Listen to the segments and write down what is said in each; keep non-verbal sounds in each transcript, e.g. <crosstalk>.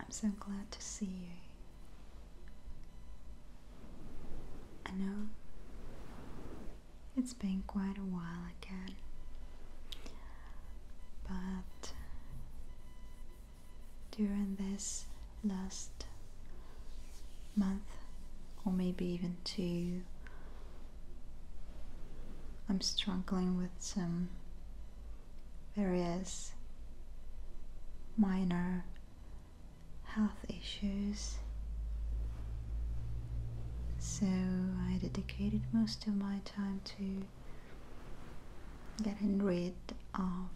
I'm so glad to see you. I know it's been quite a while again, but during this last month, or maybe even two, I'm struggling with some various minor health issues. So I dedicated most of my time to getting rid of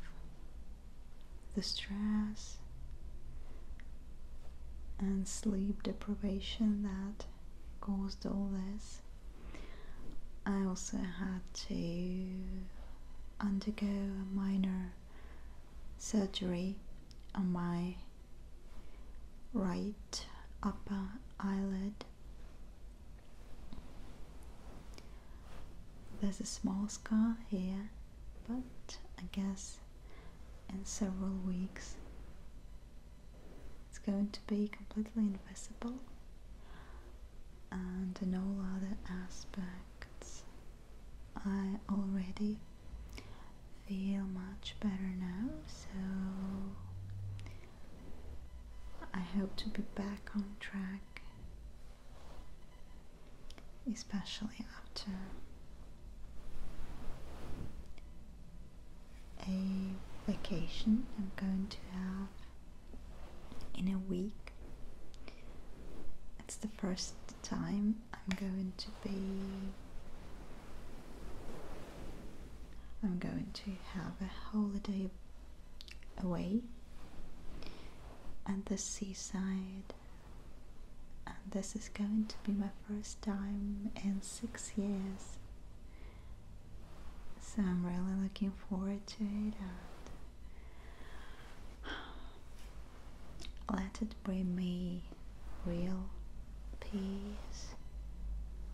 the stress and sleep deprivation that caused all this. I also had to undergo a minor surgery on my right upper eyelid. There's a small scar here, but I guess in several weeks. It's going to be completely invisible and in all other aspects I already feel much better now so I hope to be back on track especially after a vacation I'm going to have in a week. It's the first time I'm going to be I'm going to have a holiday away at the seaside and this is going to be my first time in six years so I'm really looking forward to it let it bring me real peace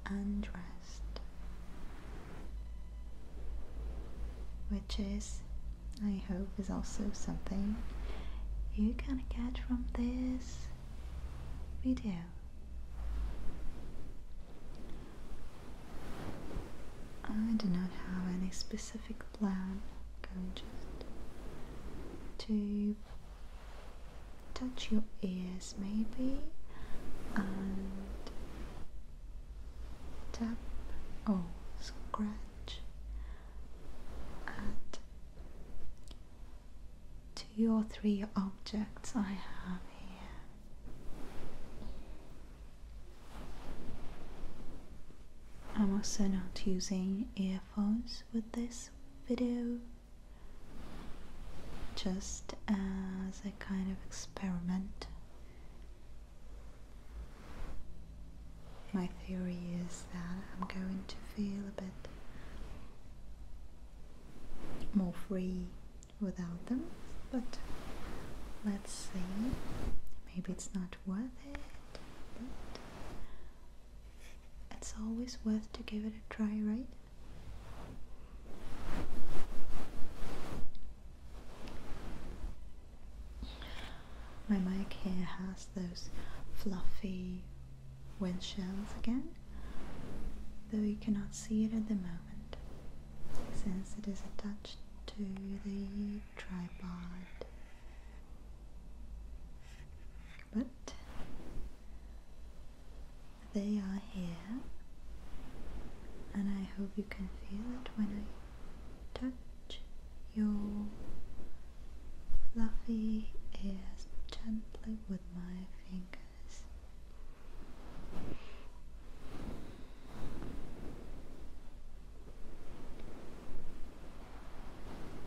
and rest which is I hope is also something you can catch from this we do. I do not have any specific plan, i to touch your ears maybe and tap or scratch at two or three objects I have here. I'm also not using earphones with this video, just as a kind of experiment. My theory is that I'm going to feel a bit more free without them, but let's see. Maybe it's not worth it, it's always worth to give it a try, right? My mic here has those fluffy with again, though you cannot see it at the moment since it is attached to the tripod. But they are here, and I hope you can feel it when I touch your fluffy ears gently with my fingers.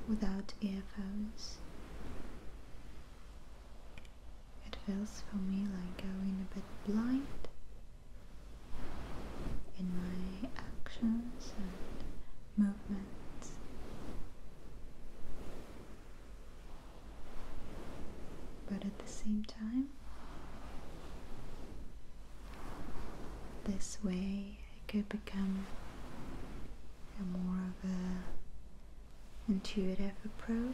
Without earphones, it feels for me like going a bit blind in my actions movement, But at the same time, this way it could become more of a intuitive approach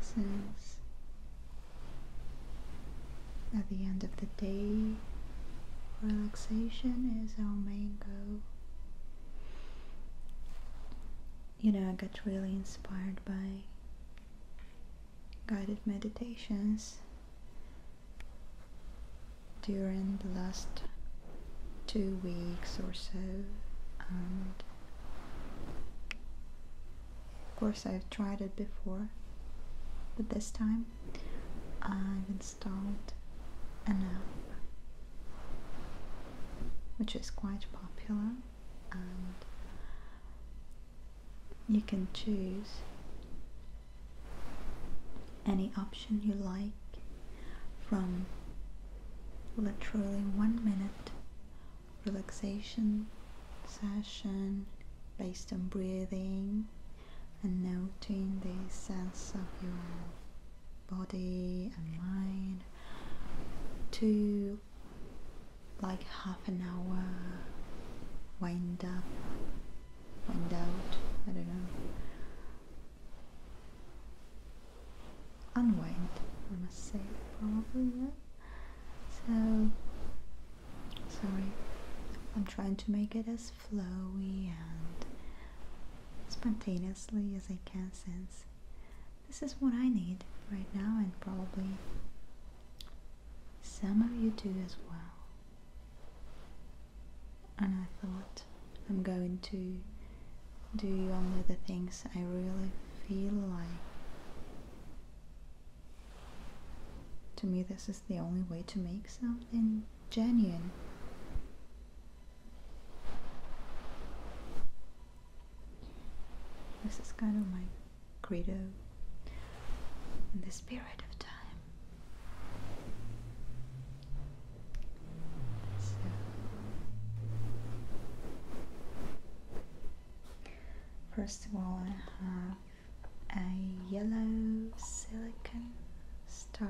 since at the end of the day, relaxation is our main goal. You know, I got really inspired by guided meditations during the last two weeks or so, and of course, I've tried it before, but this time I've installed an app which is quite popular and you can choose any option you like from literally one minute relaxation session based on breathing and noting the sense of your body and mind to like half an hour wind up wind out I don't know unwind I must say probably yeah so, sorry, I'm trying to make it as flowy and spontaneously as I can since this is what I need right now and probably some of you do as well. And I thought I'm going to do only the things I really feel like to me, this is the only way to make something genuine. This is kind of my credo in the spirit of time. First of all, I have a yellow silicone star,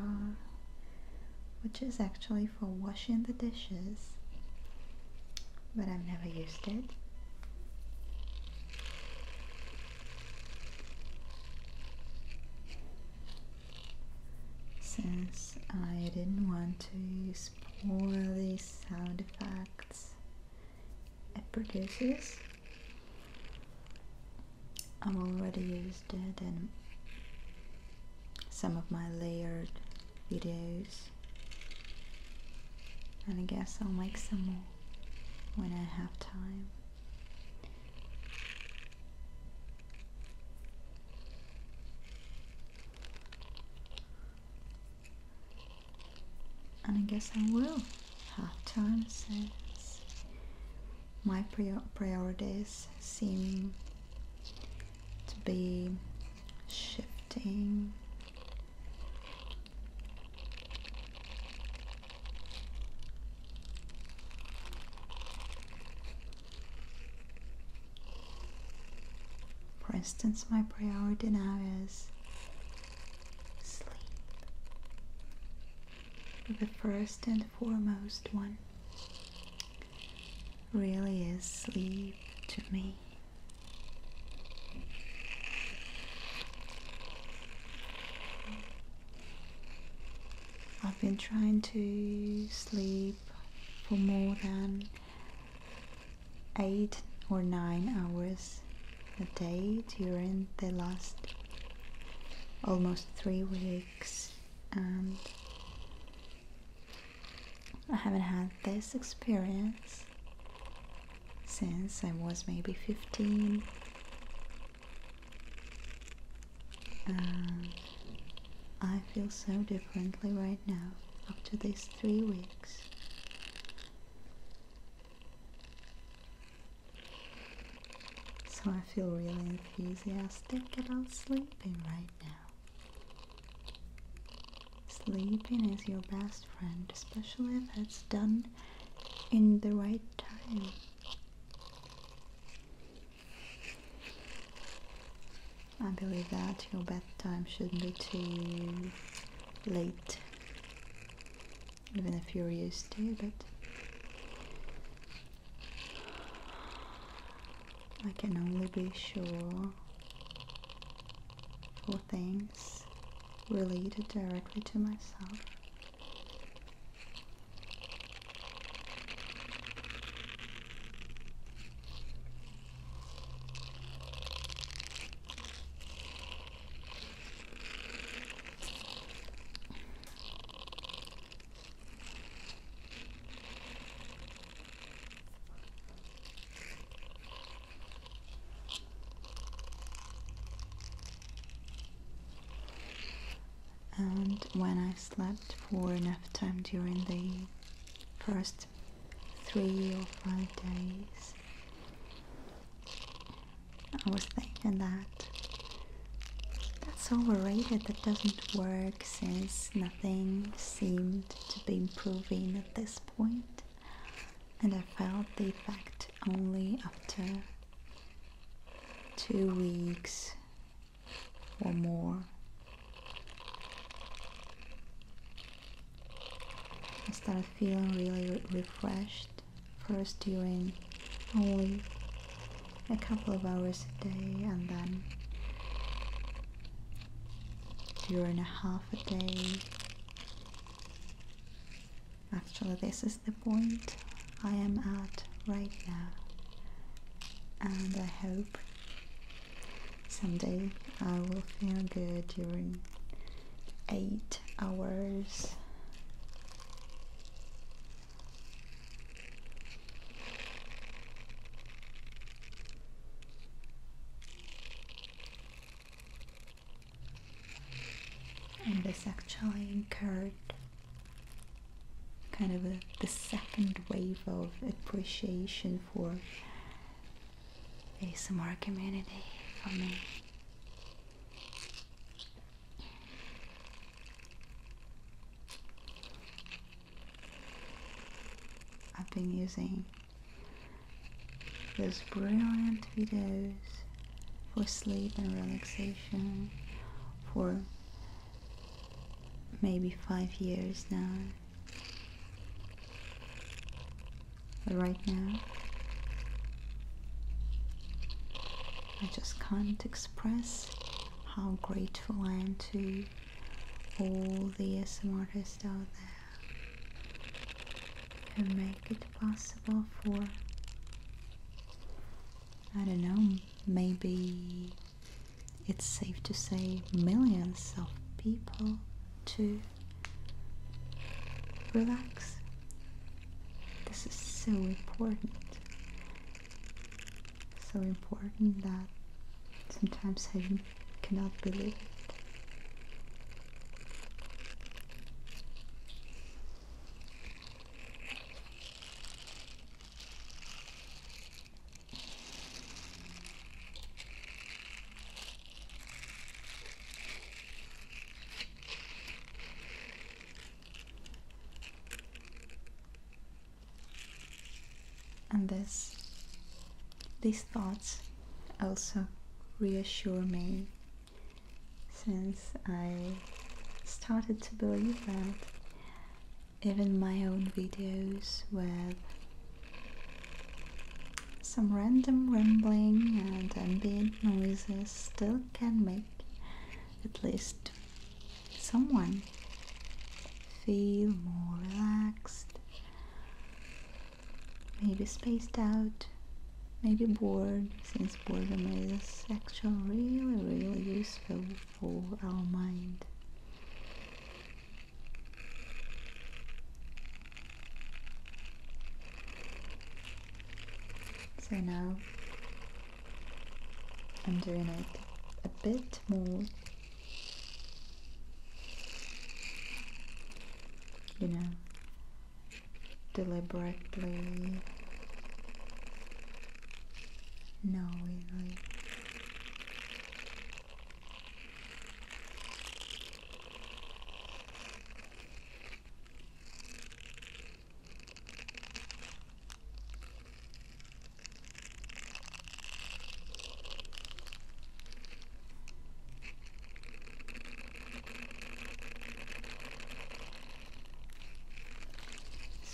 which is actually for washing the dishes, but I've never used it. Since I didn't want to use all these sound effects it produces. I've already used it in some of my layered videos and I guess I'll make some more when I have time. And I guess I will Half time since my priorities seem to be shifting. For instance, my priority now is sleep, the first and foremost one. Really is sleep to me. I've been trying to sleep for more than eight or nine hours a day during the last almost three weeks and I haven't had this experience since I was maybe 15 and I feel so differently right now up to these three weeks. So I feel really enthusiastic about sleeping right now. Sleeping is your best friend, especially if it's done in the right time. I believe that your bedtime shouldn't be too late, even if you're used to it. But I can only be sure for things related directly to myself. And when I slept for enough time during the first three or five days. I was thinking that that's overrated, that doesn't work since nothing seemed to be improving at this point, and I felt the effect only after two weeks or more I started feeling really refreshed first during only a couple of hours a day and then during a half a day actually this is the point I am at right now and I hope Someday I will feel good during eight hours. And this actually incurred kind of the second wave of appreciation you for ASMR community for me. I've been using those brilliant videos for sleep and relaxation for maybe five years now. But right now, I just can't express how grateful I am to all the ASM artists out there who make it possible for, I don't know, maybe it's safe to say millions of people to relax. This is so important. So important that sometimes I cannot believe it. And this, these thoughts also reassure me since I started to believe that even my own videos with some random rambling and ambient noises still can make at least someone feel more relaxed, maybe spaced out, maybe bored, since boredom is actually really really useful for our mind. So now I'm doing it a bit more, you know, deliberately, knowingly.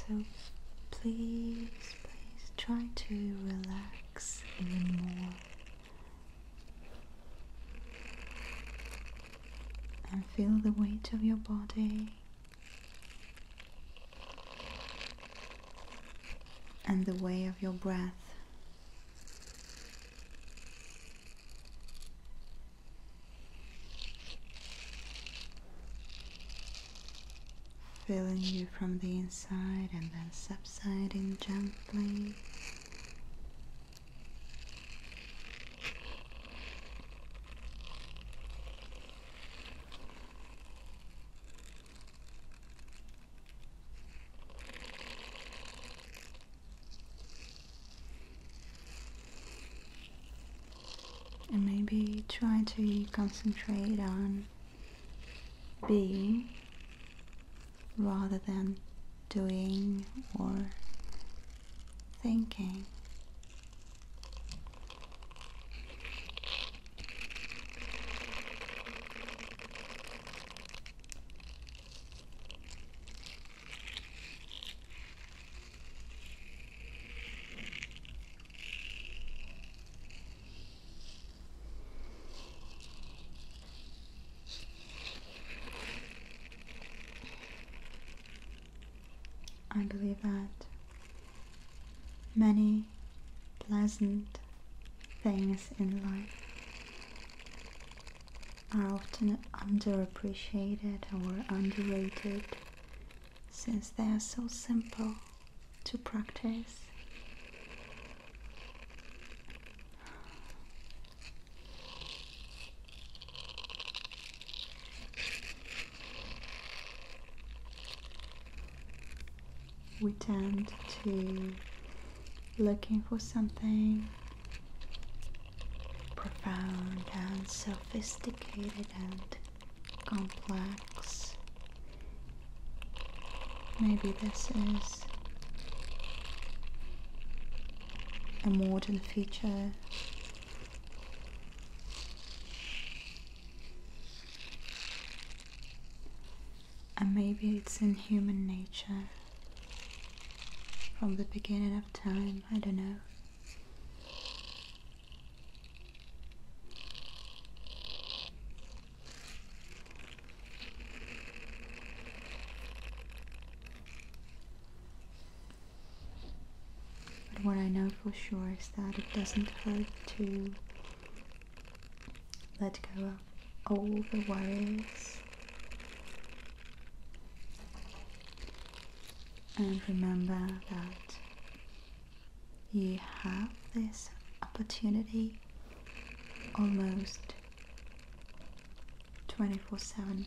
So please please try to relax even more and feel the weight of your body and the way of your breath filling you from the inside and then subsiding gently and maybe try to concentrate on being rather than doing or thinking. I believe that many pleasant things in life are often underappreciated or underrated since they are so simple to practice. We tend to looking for something profound and sophisticated and complex. Maybe this is a modern feature. And maybe it's in human nature from the beginning of time, I don't know. But what I know for sure is that it doesn't hurt to let go of all the worries and remember that you have this opportunity almost 24 7.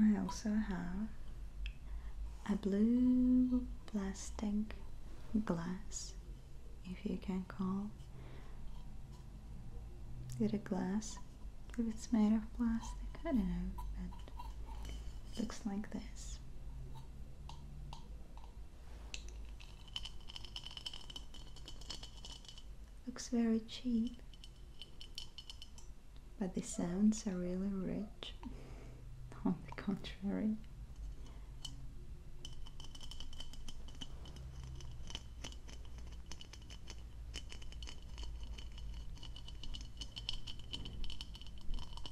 I also have a blue plastic glass, if you can call it a glass, if it's made of plastic, I don't know, but it looks like this. Looks very cheap, but the sounds are really rich, <laughs> on the contrary.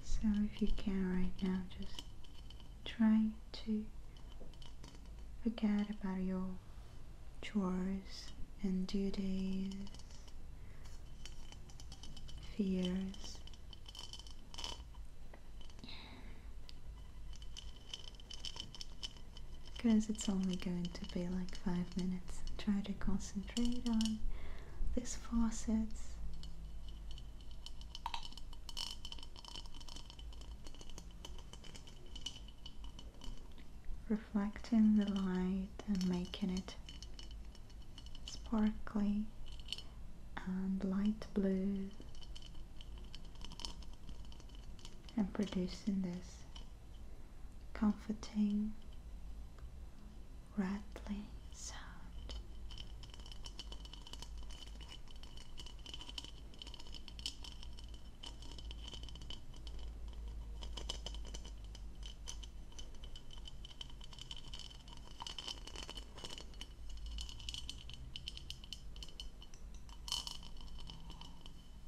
So if you can right now, just try to forget about your chores and duties, fears. Because it's only going to be like five minutes. Try to concentrate concentrate on these facets. Reflecting the light and making it sparkly and light blue and producing this comforting, rattling sound.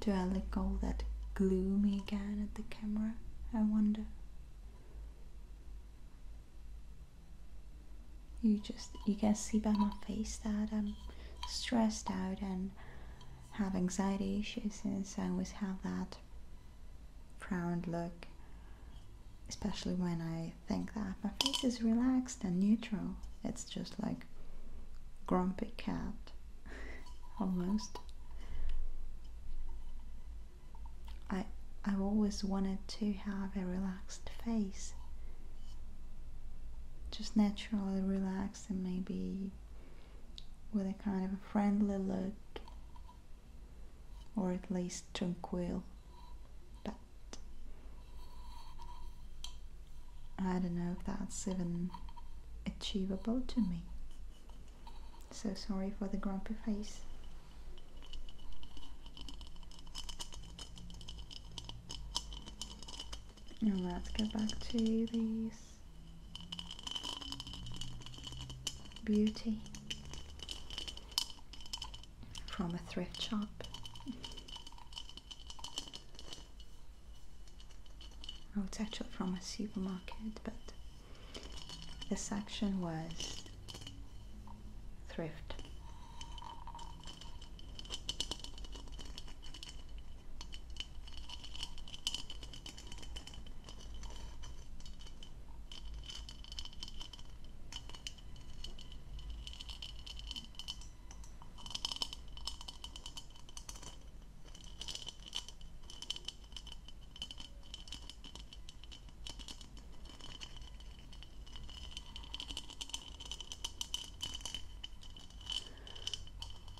Do I look all that gloomy again at the camera? I wonder. You just you can see by my face that I'm stressed out and have anxiety issues since I always have that frowned look. Especially when I think that my face is relaxed and neutral. It's just like grumpy cat <laughs> almost. I, I've always wanted to have a relaxed face. Just naturally relaxed and maybe with a kind of a friendly look or at least tranquil. But I don't know if that's even achievable to me. So sorry for the grumpy face. Now let's get back to these beauty from a thrift shop. Oh, it's actually from a supermarket, but the section was thrift.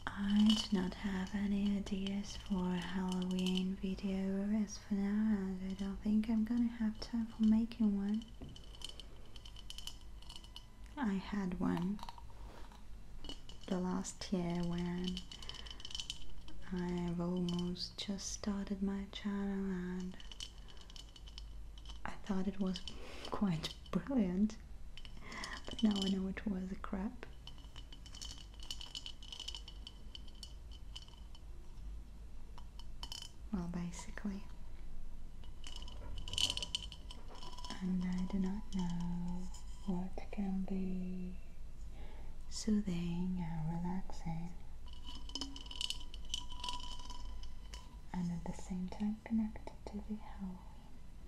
I do not have any ideas for Halloween videos for now and I don't think I'm gonna have time for making one. I had one the last year when I've almost just started my channel and I thought it was quite brilliant, but now I know it was a crap. Well, basically, and I do not know what can be soothing and relaxing, and at the same time connected to the Halloween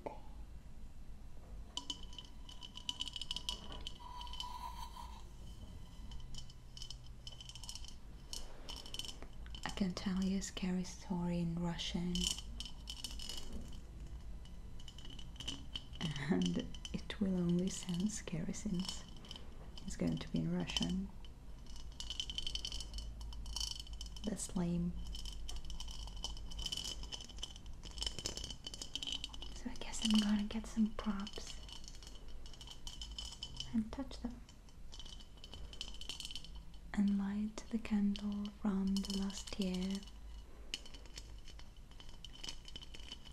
theme. I can tell you a scary story in Russian and it will only sense scary It's going to be in Russian. That's lame. So I guess I'm gonna get some props and touch them. And light the candle from the last year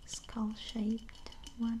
skull shaped one.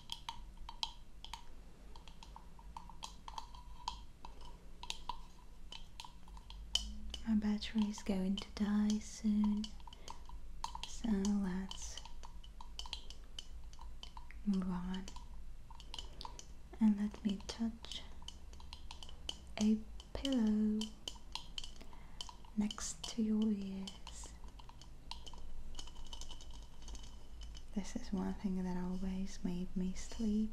My battery is going to die soon, so let's move on. And let me touch a pillow next to your ears. This is one thing that always made me sleepy.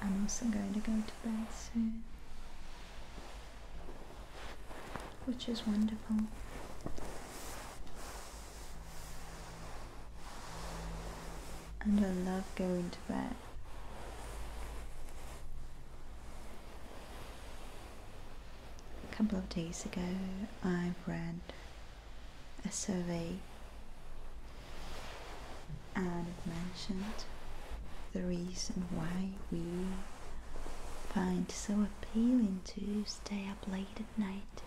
I'm also going to go to bed soon, which is wonderful. And I love going to bed. A couple of days ago, I read a survey and it mentioned the reason why we find so appealing to stay up late at night.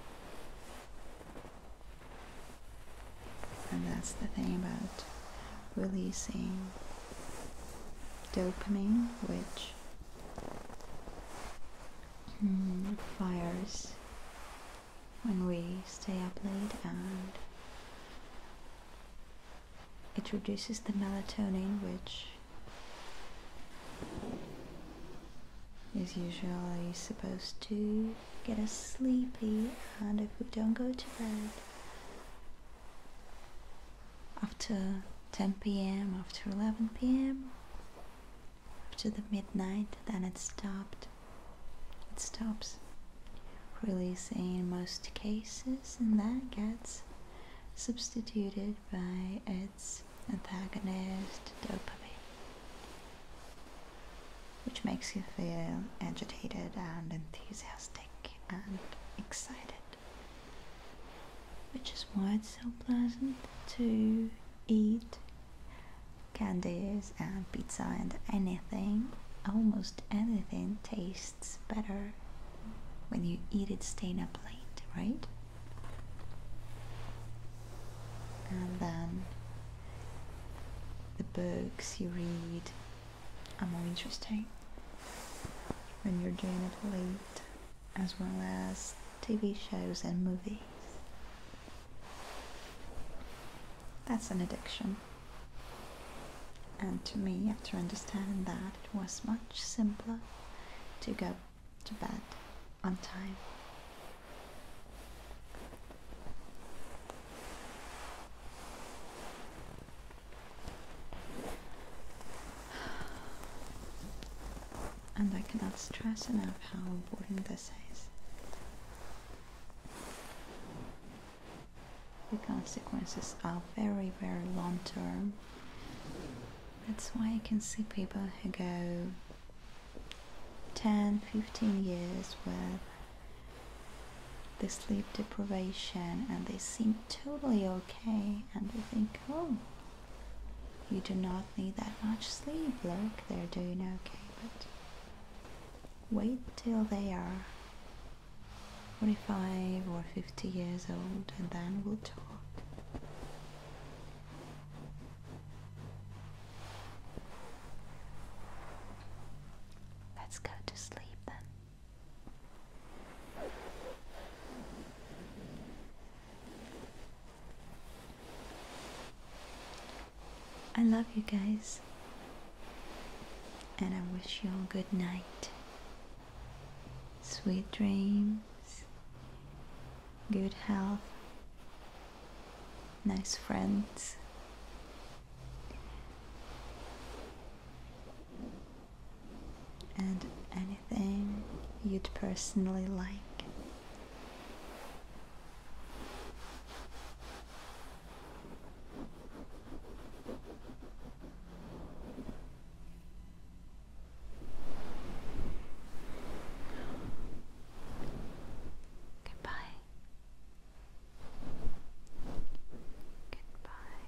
And that's the thing about releasing dopamine, which mm, fires when we stay up late and it reduces the melatonin which is usually supposed to get us sleepy and if we don't go to bed after 10 p.m. after 11 p.m. after the midnight then it stopped it stops releasing in most cases and that gets substituted by its antagonist dopamine which makes you feel agitated and enthusiastic and excited which is why it's so pleasant to eat candies and pizza and anything, almost anything tastes better when you eat it staying up late, right? And then the books you read are more interesting when you're doing it late, as well as TV shows and movies. That's an addiction. And to me, after understanding that, it was much simpler to go to bed on time. And I cannot stress enough how important this is. The consequences are very, very long term. That's why you can see people who go 10, 15 years with the sleep deprivation and they seem totally okay and they think, oh, you do not need that much sleep. Look, they're doing okay, but wait till they are 45 or 50 years old and then we'll talk. Let's go to sleep then. I love you guys. And I wish you all good night. Sweet dreams. Good health. Nice friends. And anything you'd personally like. Goodbye. Goodbye.